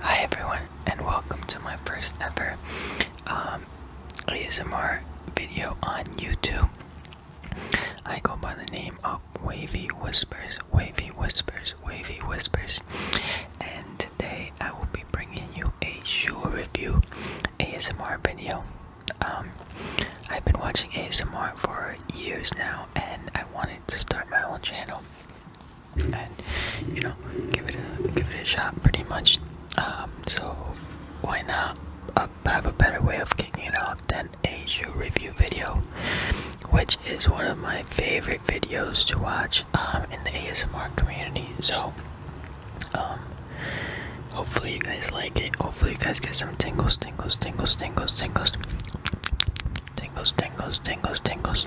Hi everyone and welcome to my first ever um, ASMR video on YouTube. I go by the name of Wavy Whispers, Wavy Whispers, Wavy Whispers and today I will be bringing you a shoe review ASMR video. Um, I've been watching ASMR for years now, and I wanted to start my own channel and you know give it a give it a shot, pretty much. Um, so why not uh, have a better way of kicking it off than a shoe review video, which is one of my favorite videos to watch um, in the ASMR community. So um, Hopefully you guys like it. Hopefully you guys get some tingles, tingles, tingles, tingles, tingles, tingles, tingles, tingles, tingles.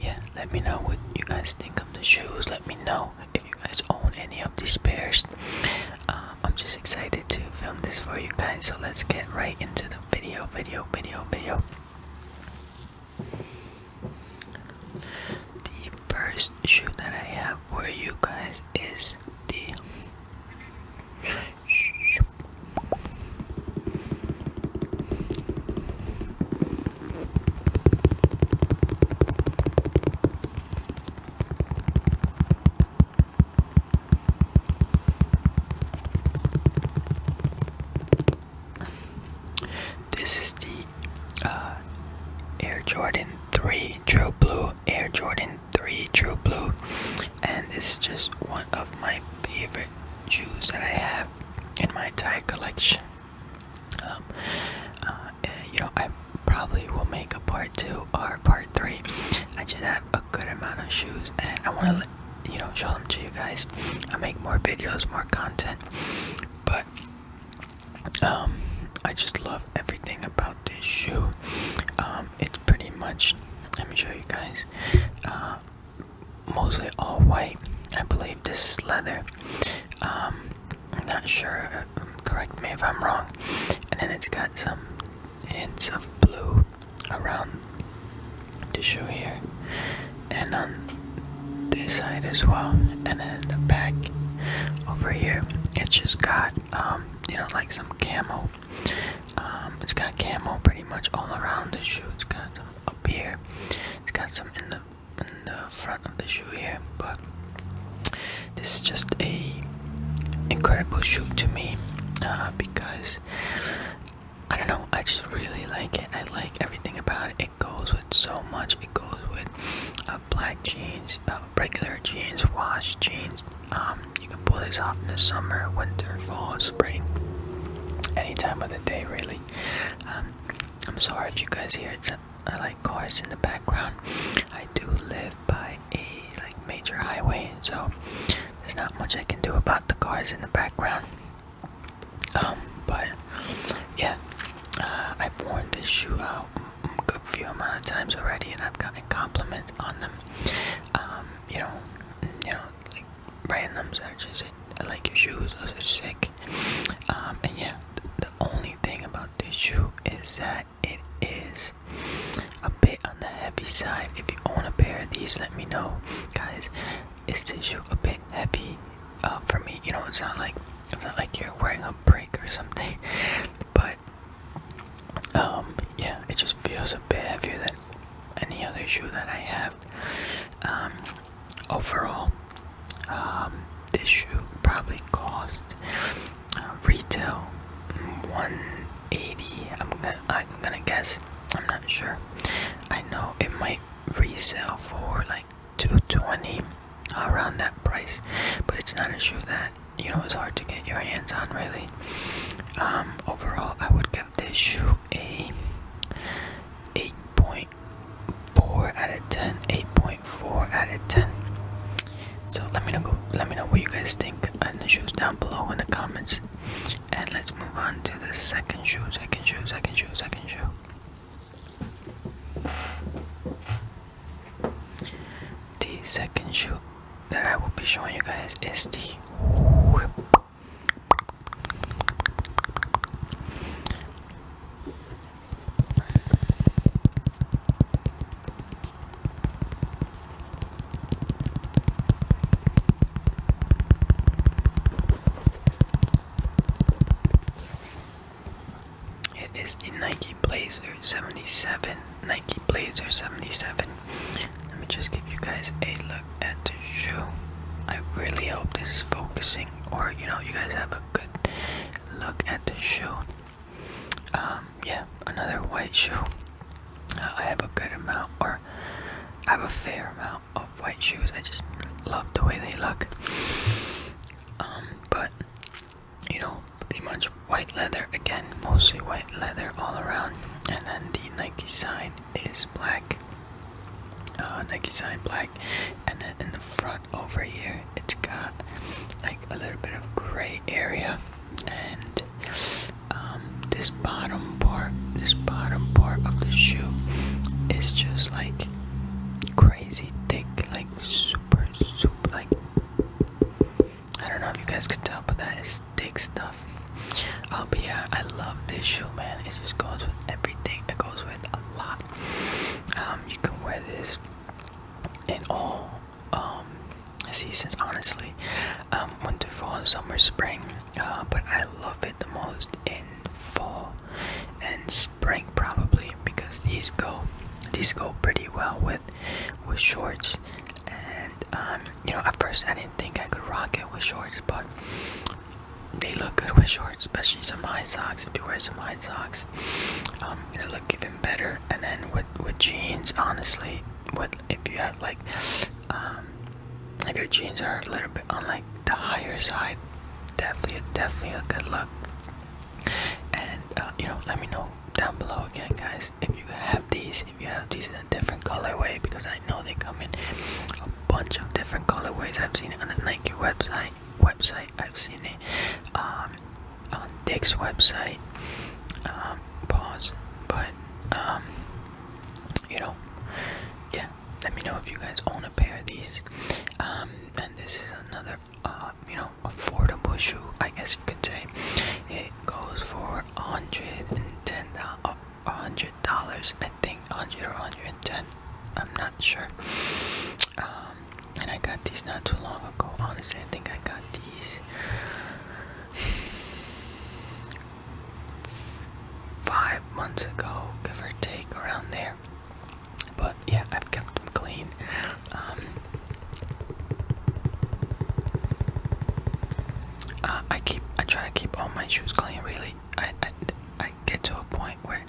Yeah, let me know what you guys think of the shoes. Let me know if you guys own any of these pairs. Um, I'm just excited to film this for you guys. So let's get right into the video, video, video, video. The first shoe that I have for you guys is the this is the uh, Air Jordan 3 True Blue Air Jordan 3 True Blue, and this is just one of my favorite shoes that I have in my entire collection. Um, uh, you know, I probably will make a part two or part three. I just have a good amount of shoes, and I want to you know show them to you guys. I make more videos, more content, but um, I just love everything about this shoe. Um, it's pretty much, let me show you guys, uh, mostly all white. I believe this leather. Um, I'm not sure, um, correct me if I'm wrong. And then it's got some hints of blue around the shoe here. And on this side as well. And then in the back over here, it's just got um, you know, like some camo. Um, it's got camo pretty much all around the shoe. It's got some up here. It's got some in the in the front of the shoe here, but this is just a incredible shoe to me uh, because I don't know. I just really like it. I like everything about it. It goes with so much. It goes with uh, black jeans, uh, regular jeans, wash jeans. Um, you can pull these off in the summer, winter, fall, spring, any time of the day, really. Um, I'm sorry if you guys hear I like cars in the background. I do live by a like major highway, so there's not much I can do about the cars in the background. Um, but yeah, uh, I've worn this shoe out know a good few amount of times already, and I've gotten compliments on them. Um, you know, you know, like randoms that are just I like your shoes, those are sick. Um, and yeah, the, only thing about this shoe is that it is a bit on the heavy side. If you own a pair of these, let me know, guys. Is this shoe a bit heavy uh, for me? You know, it's not like it's not like you're wearing a brick or something, but um yeah it just feels a bit heavier than any other shoe that I have um overall um this shoe probably cost uh, retail 180 I'm gonna I'm gonna guess I'm not sure I know it might resell for like 220 around that price but it's not a shoe that you know it's hard to get your hands on really. Um, overall, I would give this shoe a 8.4 out of 10. 8.4 out of 10. So let me know. Let me know what you guys think on the shoes down below in the comments. And let's move on to the second shoes, Second shoe. Second shoe. Second shoe. The second shoe that I will be showing you guys is the it is a Nike Blazer 77. Nike Blazer 77. Let me just give you guys a look at the shoe. I really hope this is focusing, or you know, you guys have a good look at the shoe. Um, yeah, another white shoe. Uh, I have a good amount, or I have a fair amount of white shoes. I just love the way they look. Um, but you know, pretty much white leather again, mostly white leather all around, and then the Nike side is black, uh, Nike side black, and then in the front over here, it's got like a little bit of gray area, and um, this bottom part, this bottom part of the shoe is just like crazy thick, like super, super, like I don't know if you guys can tell, but that is thick stuff. Uh, but yeah, I love this shoe, man. It just goes with everything. It goes with a lot. Um, you can wear this in all um, seasons, honestly. Um, winter, fall, summer, spring. Uh, but I love it the most in fall and spring, probably, because these go, these go pretty well with with shorts and um, you know at first i didn't think i could rock it with shorts but they look good with shorts especially some high socks if you wear some high socks um gonna look even better and then with with jeans honestly with if you have like um if your jeans are a little bit on like the higher side definitely definitely a good look and uh, you know let me know down below again guys if you have these if you have these in a different colorway because i know they come in a bunch of different colorways i've seen it on the nike website website i've seen it um, on dick's website um, pause but um, you know yeah let me know if you guys own a pair of these and this is another uh, you know, affordable shoe, I guess you could say. It goes for a hundred and ten a uh, hundred dollars, I think, hundred or hundred and ten. I'm not sure. Um, and I got these not too long ago. Honestly, I think I got these five months ago, give or take, around there. But yeah, I've kept them clean. Um, uh, I keep. I try to keep all my shoes clean. Really, I, I, get to a point where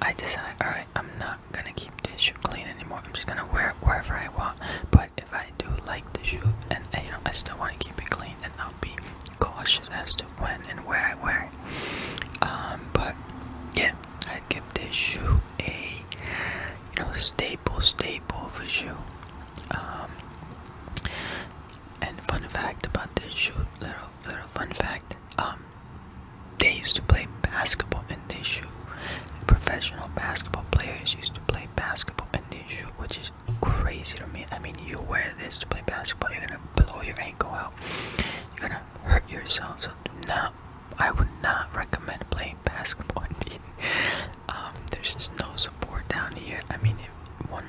I decide, all right, I'm not gonna keep this shoe clean anymore. I'm just gonna wear it wherever I want. But if I do like the shoe, and, I still want to keep it clean, then I'll be cautious as to when and where I wear it. Um, but yeah, I'd give this shoe a you know staple staple for a shoe. Um, and fun fact about this shoe, little little fun fact. Um, they used to play basketball in this shoe. Professional basketball players used to play basketball in this shoe, which is crazy to me. I mean, you wear this to play basketball, you're gonna blow your ankle out, you're gonna hurt yourself. So do not I would not recommend playing basketball. Indeed, um, there's just no support down here. I mean, one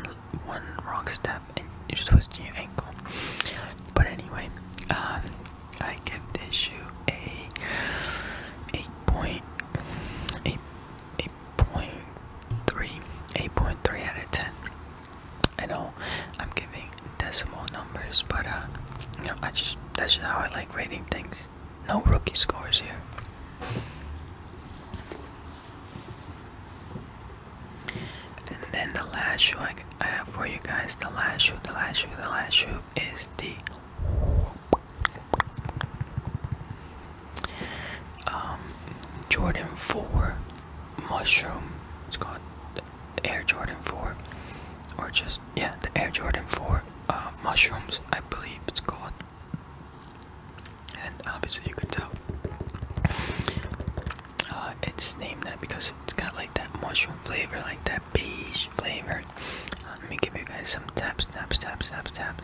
one wrong step and you're just twisting your ankle. But anyway, um, I give this shoe a eight point eight eight point three eight point three out of ten. I know I'm giving decimal numbers, but uh, you know I just that's just how I like rating things. No rookie scores here. And then the last shoe I, have for you guys, the last shoe, the last shoe, the last shoe is the um, Jordan 4 Mushroom. It's called Air Jordan 4. Or just was yeah the Air Jordan 4 uh, mushrooms I believe it's called and obviously you can tell uh, it's named that because it's got like that mushroom flavor like that beige flavor uh, let me give you guys some taps taps taps taps taps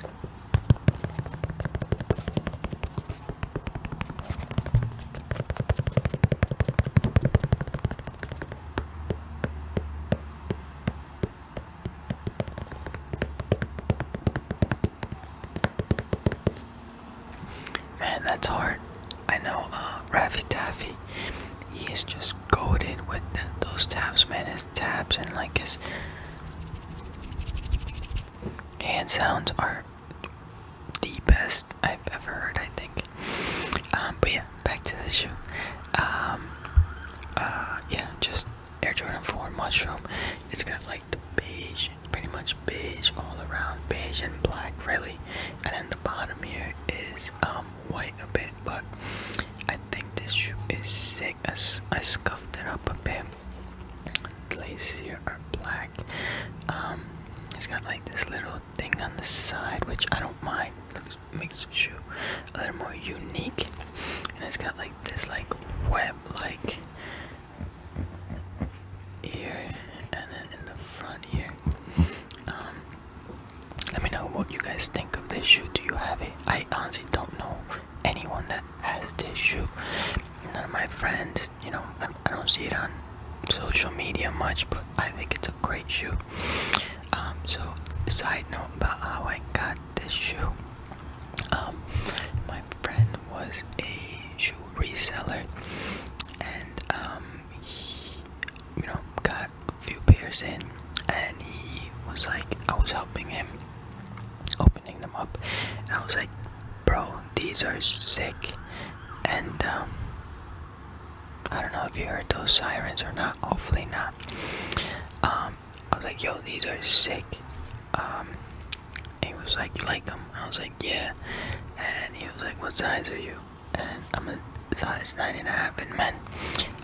Man, that's hard. I know uh, Raffy Taffy, he is just goaded with those tabs, man. His tabs and like his hand sounds are the best I've ever heard, I think. Um, but yeah, back to the shoe. Um, uh, yeah, just Air Jordan 4 mushroom. It's got like the beige, pretty much beige all around, beige and black, really. And then the bottom here is um white a bit, but I think this shoe is sick. As I scuffed it up a bit. The laces here are black. Um, it's got like this little thing on the side, which I don't mind makes the shoe a little more unique and it's got like this like web like here and then in the front here um, let me know what you guys think of this shoe do you have it i honestly don't know anyone that has this shoe none of my friends you know I don't see it on social media much but i think it's a great shoe um, so side note about how I got this shoe. Um, my friend was a shoe reseller, and um, he, you know, got a few pairs in, and he was like, I was helping him opening them up, and I was like, bro, these are sick, and um, I don't know if you heard those sirens or not. Hopefully not. Um, I was like, yo, these are sick. Um, he was like, you like them? I was like, yeah. And he was like, what size are you? And I'm a size nine and a half in men.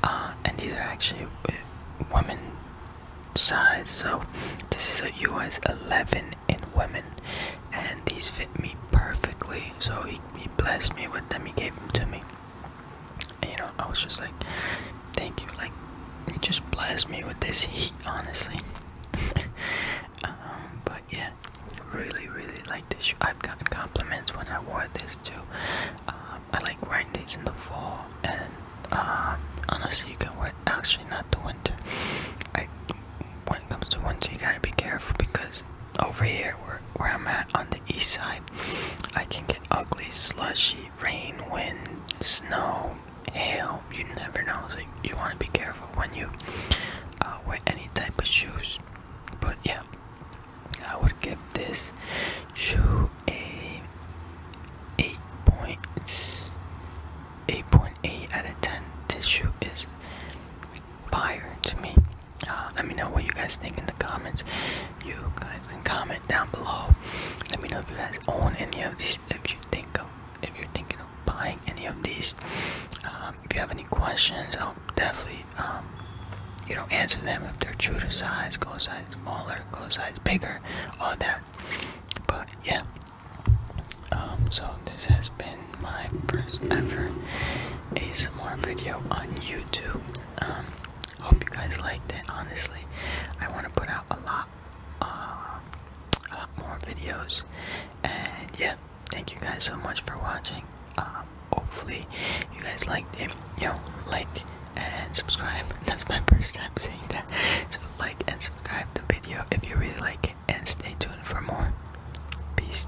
Uh, and these are actually uh, women size. So this is a US 11 in women, and these fit me perfectly. So he blessed me with them. He gave them to me you know, I was just like, thank you. Like, you just blessed me with this heat, honestly. Um, but yeah, really, really like this shoe. I've gotten compliments when I wore this too. Um, I like wearing these in the fall, and um, honestly, you can wear actually not the winter. I when it comes to winter, you gotta be careful because over here where, I'm at on the east side, I can get ugly, slushy, rain, wind, snow, hail. You never know. So you, want to be careful when you uh, wear any type of shoes. But yeah, I would give this shoe a 8.8 out of 10. This shoe is fire to me. Uh, let me know what you guys think in the comments. You guys can comment down below. Let me know if you guys own any of these. If you think of, if you're thinking of buying any of these, um, if you have any questions, I'll definitely, um, you know, answer them if they're true to size, go size smaller, go size bigger, all that. But yeah. Um, so this has been my first ever a more video on YouTube. Um, hope you guys liked it. Honestly, I want to put out a lot, uh, a lot more videos. And yeah, thank you guys so much for watching. Um, hopefully, you guys liked it. You know, like and subscribe. That's my first time saying that. So like and subscribe the video if you really like it, and stay tuned for more. Peace.